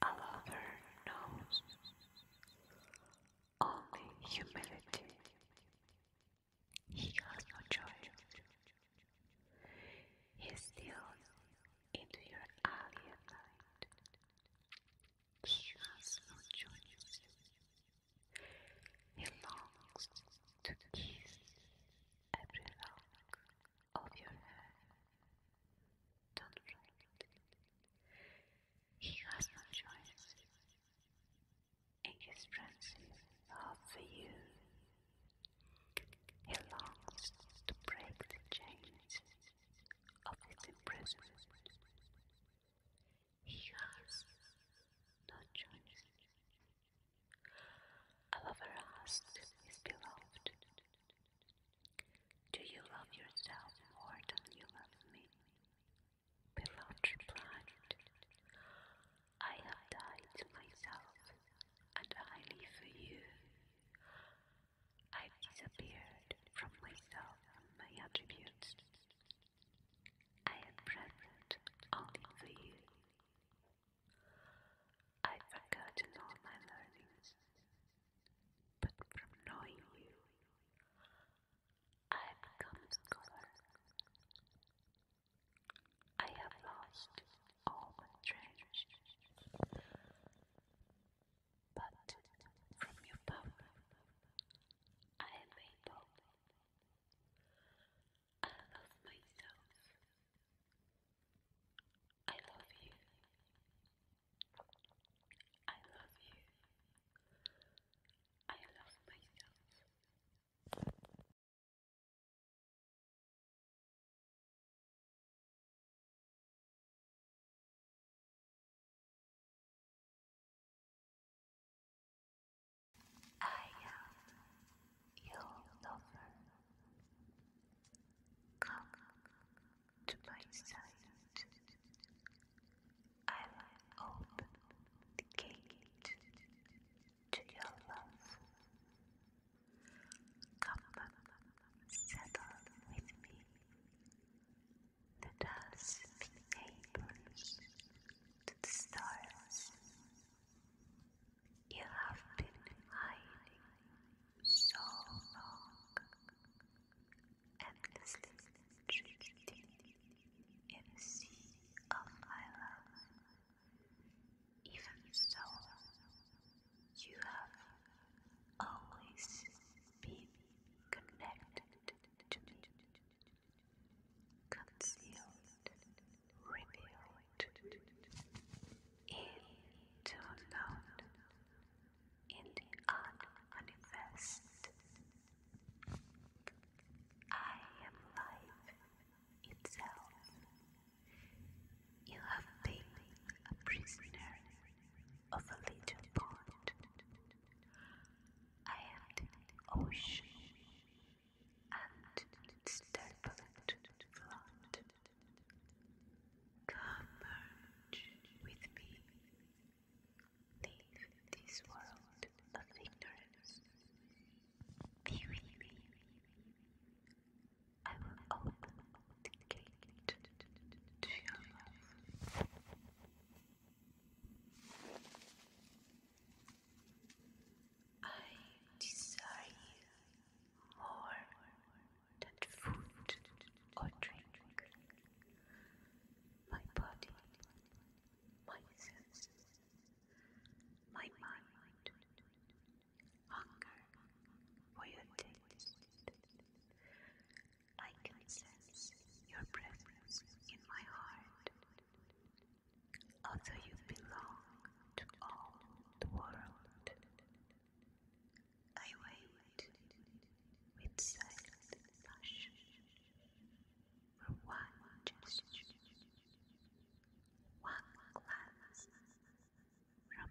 A lover knows only humility. He has no choice. He steals into your alley He has no choice. He longs to kiss every lock of your hair. Don't frighten He has no choice. In his frenzy, love for you, he longs to break the chains of his imprisonment. He has no choice Oliver asked his beloved, Do you love yourself more than you love me? Beloved replied, I have died to myself, and I live for you. I disappeared from myself and my attributes. I am present only for you. I've forgotten all my learnings, but from knowing you, I have become scholar. I have lost all my treasures, but from your power, I am able I love myself. I love you. I love you. I love myself. I am your lover. Come to my side. I will open the gate to your love. Come, settle with me. Let us neighbors to the stars. You have been hiding so long, endlessly drifting in a sea of my love. Even so, you have always been connected concealed, revealed, into unknown, in unmanifest. I am life itself. You have been a prisoner of a little pond. I am the ocean and step into the flood. Come merge with me. Leave this world of ignorance. Be with me. I will open the gate to your love. I desire you more than food or drink. My body, my senses, my mind, hunger for your taste, I can sense your presence in my heart. Although you belong to all the world, I wait with silent passion for one gesture, one glance from you.